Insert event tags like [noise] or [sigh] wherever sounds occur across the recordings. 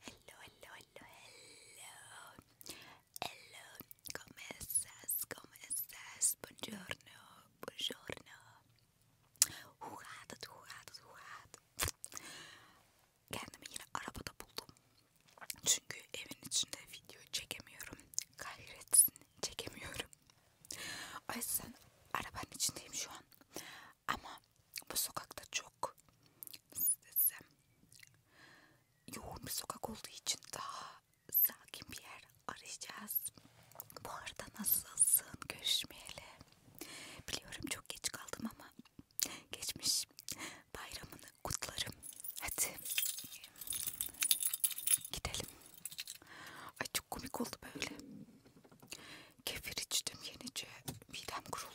Hello, hello, hello, hello. Hello, come estás? Come estás? Buongiorno, buongiorno. Hoe gaat het? Hoe gaat het? Hoe gaat het? Kendimi yine arabada buldum. Çünkü evin içinde video çekemiyorum. Kahretsin, çekemiyorum. O yüzden arabanın içindeyim şu an. Ama bu sokakta çok nasıl desem yoğun bir sokak olduğu için daha sakin bir yer arayacağız. Bu arada nasılsın? Görüşmeyeli. Biliyorum çok geç kaldım ama geçmiş bayramını kutlarım. Hadi gidelim. Ay çok komik oldu böyle. Kefir içtim yenice midem kuruldu.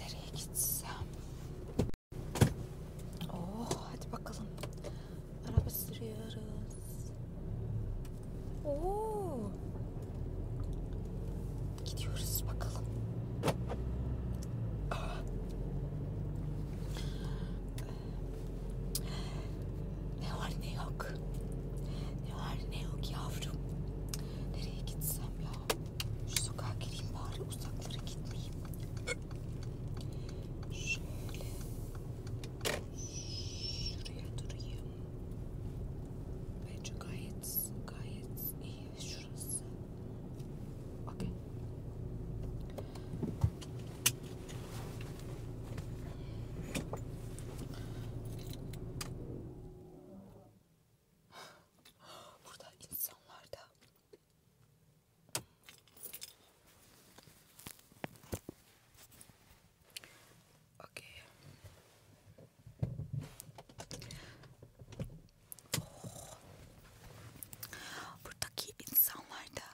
Nereye gitsem? Oh hadi bakalım. Araba sürüyoruz. Oo. Gidiyoruz bakalım. Ah. Ne var ne yok. Ne var ne yok yavrum. Nereye gitsem ya? Şu sokağa gireyim bari uzaklara gitmeyeyim. Şöyle. Şuraya durayım. Bence gayet gayet iyi şurası. Okay. [gasps] Burada insanlar da Okay. Oh. insanlar da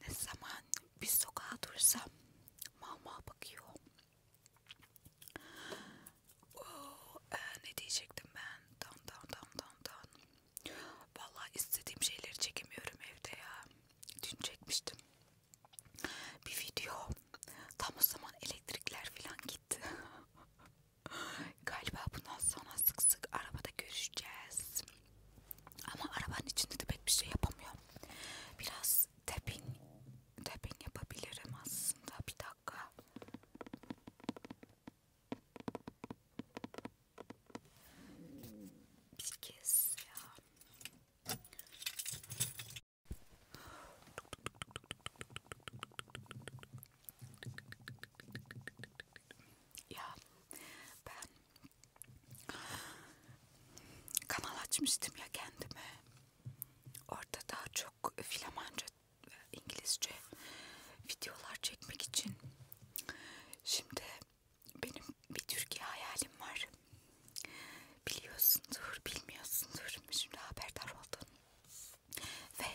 ne zaman bir sokağa dursam mama bakıyor. Oh, e, ne diyecektim ben? Dan dan dan dan dan. Valla istediğim şeyleri çekemiyorum evde ya. Dün çekmiştim bir video. Tam o zaman elektrikler falan gitti. [laughs] Galiba bundan sonra sık sık arabada görüşeceğiz. Ama arabanın içinde de pek bir şey yapamıyorum. Biraz tapping tapping yapabilirim aslında bir dakika. Bir kez ya. Ya ben kanal açmıştım ya kendime Orada daha çok Flamanca ve İngilizce videolar çekmek için. Şimdi benim bir Türkiye hayalim var. Biliyorsundur, bilmiyorsundur. Şimdi haberdar oldun. Ve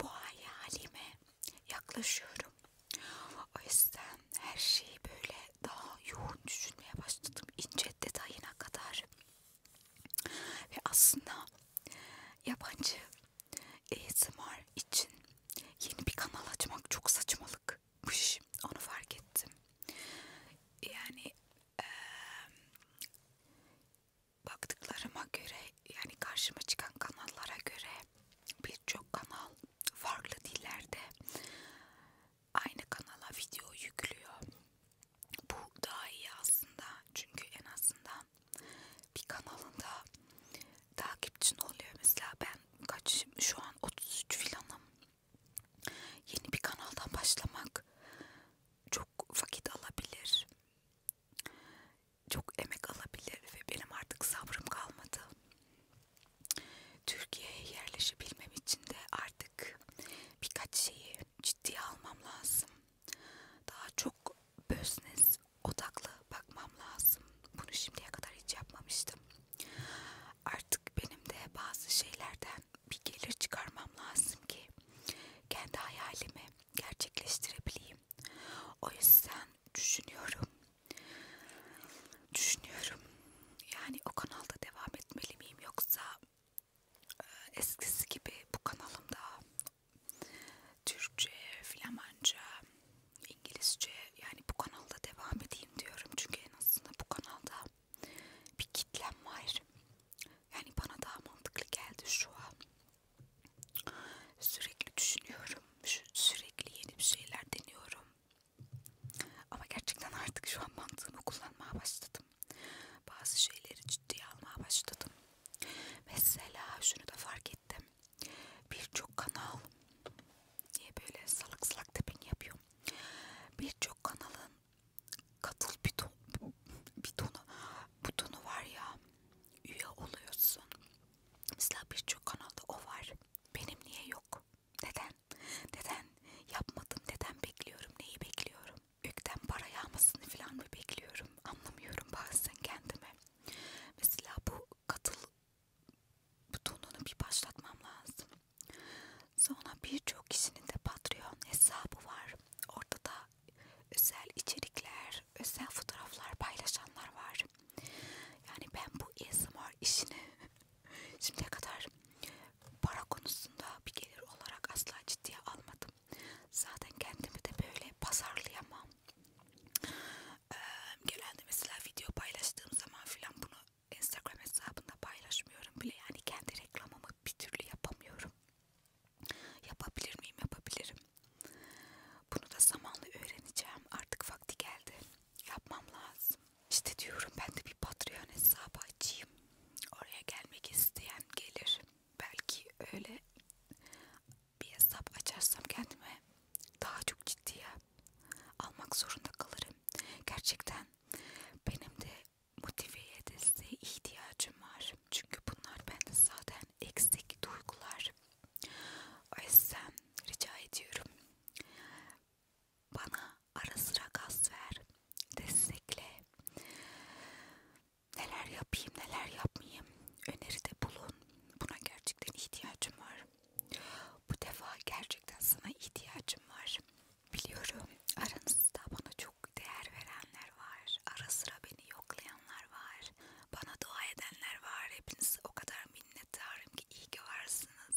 bu hayalime yaklaşıyorum. O yüzden her şeyi böyle daha yoğun düşünmeye başladım. İnce detayına kadar. Ve aslında yabancı ASMR için yeni bir kanal açmak çok saçmalıkmış. Onu fark ettim. Yani ee, baktıklarıma göre yani karşıma çıkan kanallara göre birçok kanal farklı dillerde aynı kanala video yüklüyor bu daha iyi aslında çünkü en azından bir kanalında takipçin oluyor mesela ben kaç şu an 33 filanım yeni bir kanaldan başlamak çok vakit alabilir çok emek alabilir ve benim artık sabrım kalmadı Türkiye'ye yerleşebilmem için de artık birkaç şeyi ciddiye almam lazım. Daha çok business odaklı bakmam lazım. Bunu şimdiye kadar hiç yapmamıştım. Artık benim de bazı şeylerden bir gelir çıkarmam lazım ki kendi hayalimi gerçekleştirebileyim. O yüzden düşünüyorum. Düşünüyorum. Yani o kanalda devam etmeli miyim yoksa eskisi gibi bu kanalımda Türkçe, Flamanca, İngilizce yani bu kanalda devam edeyim diyorum çünkü en azından bu kanalda bir kitlem var. Yani bana daha mantıklı geldi şu an. Sürekli düşünüyorum, sürekli yeni bir şeyler deniyorum. Ama gerçekten artık şu an mantığımı kullanmaya başladım. Bazı şeyleri ciddiye almaya başladım. Mesela şunu da fark ettim. Birçok kanal diye böyle salak salak tepin yapıyor. Birçok kanalın katıl bidon, bidonu, butonu var ya üye oluyorsun. Mesela birçok kanalda o var. Benim niye yok? Neden? Neden yapmadım? Neden bekliyorum? Neyi bekliyorum? gökten para yağmasını falan mı bekliyorum anlamıyorum bazen kendime. Mesela bu katıl butonunu bir başlatmam lazım. Sonra birçok kişinin de Patreon hesabı var. Orada da özel içerikler, özel fotoğraflar paylaşanlar var. Yani ben bu ASMR işini [laughs] şimdiye kadar para konusunda bir gelir olarak asla ciddiye almadım. Zaten kendimi de böyle pazarlayamam. Ee, genelde mesela video paylaştığım zaman filan bunu Instagram hesabında paylaşmıyorum bile. Yani kendi reklamımı bir türlü yapamıyorum. Yapabilir miyim? Yapabilirim. Bunu da zamanla öğreneceğim. Artık vakti geldi. Yapmam lazım. İşte diyorum ben de bir Patreon hesabı açayım. Oraya gelmek isteyen gelir belki öyle bir hesap açarsam kendime daha çok ciddiye almak zorunda kalırım. Gerçekten benim de motiveye desteğe ihtiyacım var. Çünkü bunlar bende zaten eksik duygular. O yüzden rica ediyorum. Bana ara sıra gaz ver. Destekle neler yapayım neler yapmayayım öneride bulun. Buna gerçekten ihtiyacım var. Bu defa gerçekten sana ihtiyacım var. Biliyorum aranızda bana çok değer verenler var. Ara sıra beni yoklayanlar var. Bana dua edenler var. Hepiniz o kadar minnettarım ki iyi ki varsınız.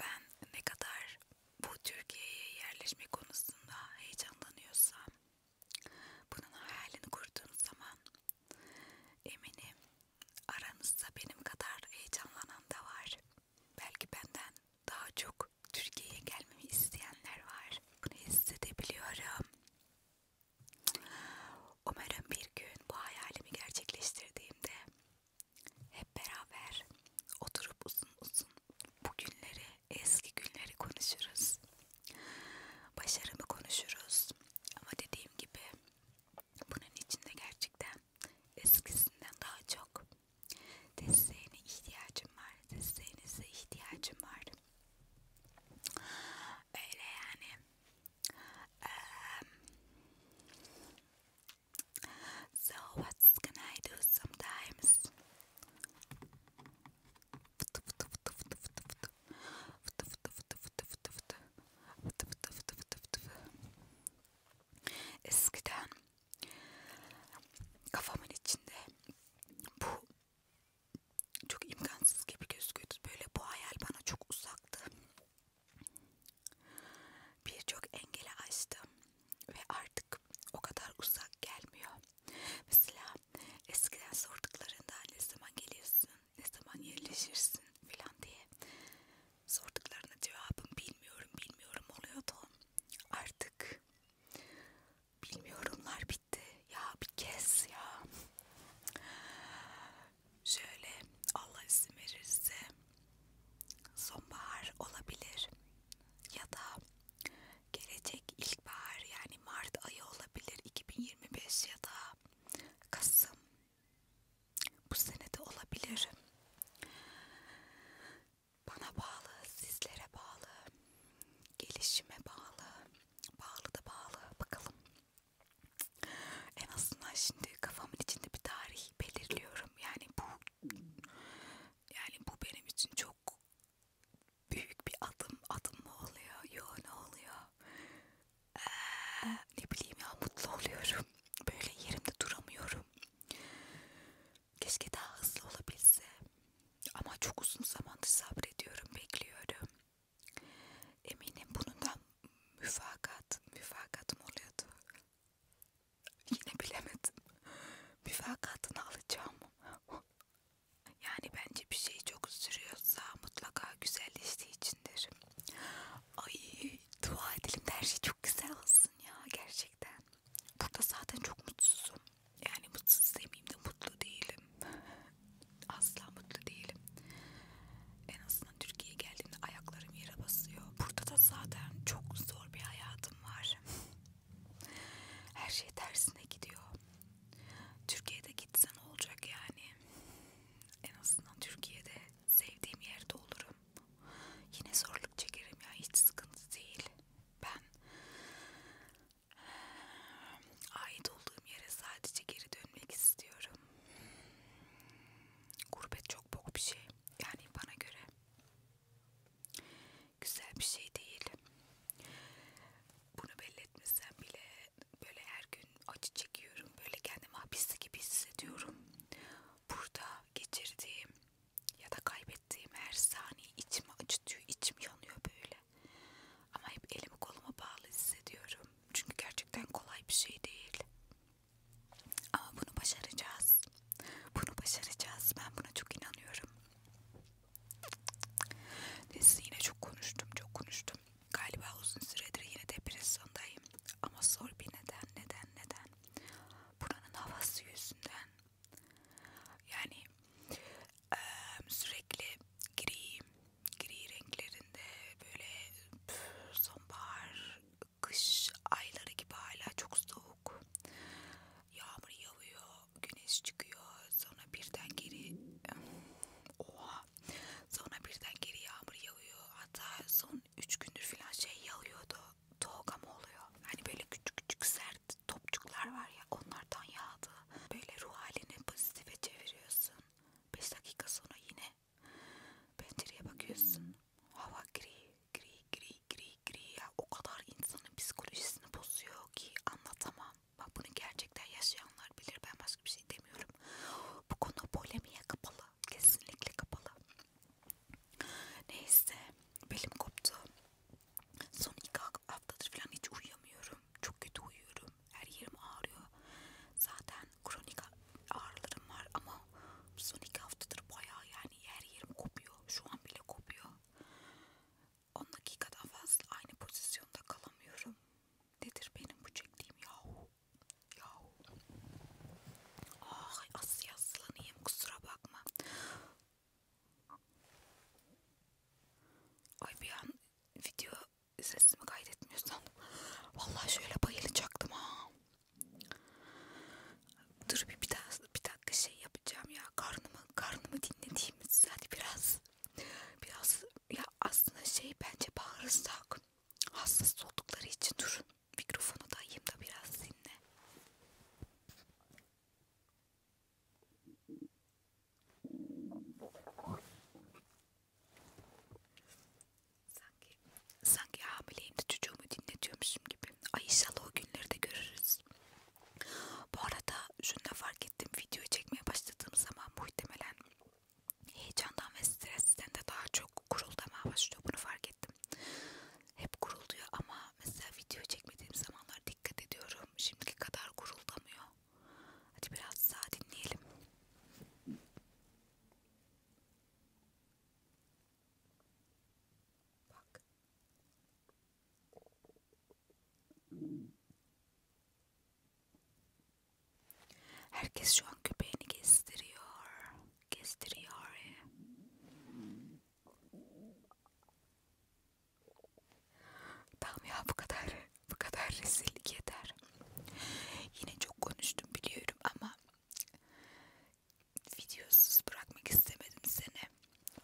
Ben ne kadar bu Türkiye'ye yerleşme konusunda heyecanlanıyorsam bunun hayalini kurduğum zaman eminim aranızda benim kadar heyecanlanan da var. Belki benden daha çok Türkiye'ye gelmemi isteyenler var. Bunu hissedebiliyorum. Umarım bir gün bu hayalimi gerçekleştirdiğimde hep beraber oturup uzun uzun bu günleri Eski günleri konuşuruz. Başarımı konuşuruz. Ama dediğim gibi bunun içinde gerçekten eskisinden daha çok desteğine ihtiyacım var. Desteğinize ihtiyacım var. Öyle yani. Ee, so what's gonna I do sometimes? Fıtı fıtı fıtı fıtı fıtı fıtı. Fıtı fıtı fıtı fıtı fıtı fıtı. Fıtı fıtı fıtı fıtı fıtı. Eskiden kafamın içinde bu çok imkansız gibi gözüküyordu. Böyle bu hayal bana çok uzaktı. Birçok engeli aştım ve artık artık o kadar uzak gelmiyor. Mesela eskiden sorduklarında ne zaman geliyorsun, ne zaman yerleşirsin filan diye sorduklarına cevabım bilmiyorum, bilmiyorum oluyordu. Artık bilmiyorumlar bitti. Ya bir kez ya. Şöyle Allah izin verirse sonbahar olabilir ya da gelecek ilkbahar yani Mart ayı olabilir 2025 ya da Kasım bu senede olabilir bana bağlı sizlere bağlı gelişime bağlı bağlı da bağlı bakalım en azından şimdi kafamın içinde bir tarih belirliyorum yani bu yani bu benim için çok büyük bir adım adım mı oluyor? Yo ne oluyor? Ee, ne bileyim ya mutlu oluyorum. Böyle yerimde duramıyorum. Keşke daha hızlı olabilse. Ama çok uzun zamandır sabrediyorum, bekliyorum. Eminim bunun da müfakat, müfakat mı oluyordu? Yine bilemedim. Müfakatını alacağım. Yani bence bir şey çok sürüyorsa mutlaka güzelleştiği içindir. Ay dua edelim de her şey çok güzel olsun ya gerçekten. Burada zaten çok mutsuzum. Yani mutsuz demeyeyim de mutlu değilim. [laughs] Asla mutlu değilim. En azından Türkiye'ye geldiğimde ayaklarım yere basıyor. Burada da zaten çok zor bir hayatım var. [laughs] Her şey tersine gidiyor. Türkiye'de gitsen olacak yani. En azından Türkiye'de sevdiğim yerde olurum. Yine zorluk çekerim ya hiç sıkıntı değil. Ben ait olduğum yere sadece geri dönmek istiyorum. Gurbet çok bok bir şey. Yani bana göre güzel bir şey değil. Bunu belli etmesem bile böyle her gün acı çekiyorum. Böyle kendimi hapiste gibi hissediyorum. Burada geçirdiğim ya da kaybettiğim her saniye içimi acıtıyor, içim yanıyor böyle. Ama hep elimi koluma bağlı hissediyorum. Çünkü gerçekten kolay bir şey değil. Ama bunu başaracağız. Bunu başaracağız. Ben buna çok inanıyorum. Neyse yine çok konuştum çok konuştum. Galiba uzun süredir yine depresyondayım. Ama zor bir neden neden neden. Buranın havası yüzünden. Yani e, sürekli gri, gri renklerinde böyle püf, sonbahar, kış ayları gibi hala çok soğuk. Yağmur yağıyor, güneş çıkıyor sonra birden geri oha sonra birden geri yağmur yağıyor hatta son 3 gündür filan şey yağıyordu toga mı oluyor hani böyle küçük küçük sert topçuklar var ya onlardan yağdı böyle ruh halini pozitife çeviriyorsun 5 dakika sonra yine pencereye bakıyorsun hava gri gri gri gri gri ya o kadar insanın psikolojisini bozuyor ki anlatamam Bak bunu gerçekten yaşayanlar bilir. Ben başka bir şey demiyorum. Bu konu polemiğe kapalı. Kesinlikle kapalı. Neyse. Belim koptu. Son iki haftadır falan hiç uyuyamıyorum. Çok kötü uyuyorum. Her yerim ağrıyor. Zaten kronik ağrılarım var ama son iki haftadır bayağı yani her yerim kopuyor. Şu an bile kopuyor. 10 dakikadan fazla aynı pozisyonda kalamıyorum. Nedir benim bu çektiğim yahu? Yahu. Ay asıl yaslanayım kusura bakma. Ay bir an video sesimi kaydetmiyorsan vallahi şöyle bayılacaktım ha. Dur bir, bir, daha, bir dakika şey yapacağım ya karnımı karnımı dinlediğimiz zaten biraz biraz ya aslında şey bence bağırsak hassas oldukları için durun mikrofonu dayayım da biraz dinle. Sanki, sanki hamileyim de çocuğumu dinletiyormuşum gibi. Ay inşallah o günleri de görürüz. Bu arada şunu da fark ettim. Videoyu çekmeye başladığım zaman muhtemelen heyecandan ve stresten de daha çok kuruldamaya başlıyor. Bunu fark ettim. Hep kuruluyor ama mesela video çekmediğim zamanlar dikkat ediyorum. Şimdiki kadar kuruldamıyor. Hadi biraz daha dinleyelim. Bak. Herkes şu an köpeğini gezdiriyor. Gezdiriyor. Tamam ya bu kadar. Bu kadar rezillik yeter. Yine çok konuştum biliyorum ama videosuz bırakmak istemedim seni.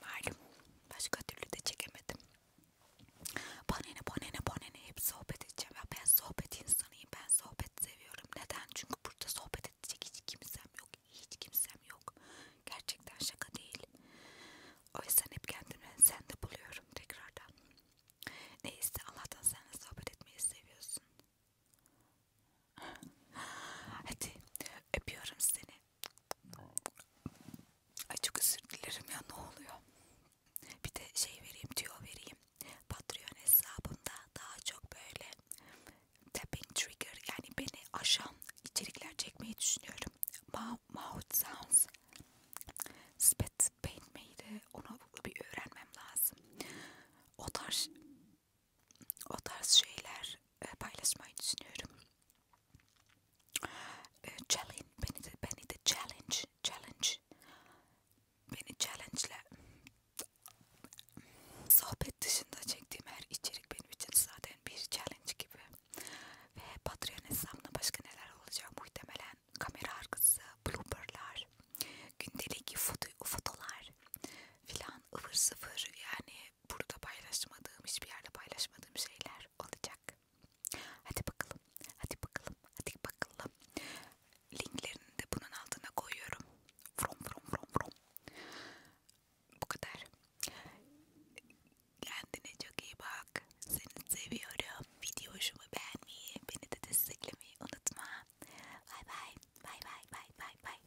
Malum başka türlü de çekemedim. Bana ne bana ne bana ne hep sohbet edeceğim ya ben sohbet insanıyım ben sohbet seviyorum neden çünkü burada sohbet edecek hiç kimsem yok hiç kimsem yok gerçekten şaka değil o yüzden hep kendimi sende buluyorum tekrardan neyse Allah'tan senle sohbet etmeyi seviyorsun hadi öpüyorum seni Ay çok özür dilerim ya ne oluyor? Bir de şey vereyim tüyo vereyim. Patreon hesabımda daha çok böyle tapping trigger yani beni aşan içerikler çekmeyi düşünüyorum. Ma mouth sounds. Spit paint miydi? Onu bir öğrenmem lazım. O tarz o tarz şeyler e, paylaşmayı düşünüyorum e, challenge beni de beni de challenge challenge beni challenge'le sohbet dışında çektiğim her içerik benim için zaten bir challenge gibi ve Patreon hesabına başka neler olacak muhtemelen kamera arkası blooperlar gündelik foto fotolar filan ıvır sıvır yani burada paylaşmadığım hiçbir yerde paylaşmadığım şeyler olacak Hadi bakalım. Hadi bakalım. Hadi bakalım. Linklerini de bunun altına koyuyorum. From from from from. Bu kadar. Kendine çok iyi bak. Seni seviyorum. Video hoşuma beğenmeyi, beni de desteklemeyi unutma. Bay bay. Bay bay bay bay bay.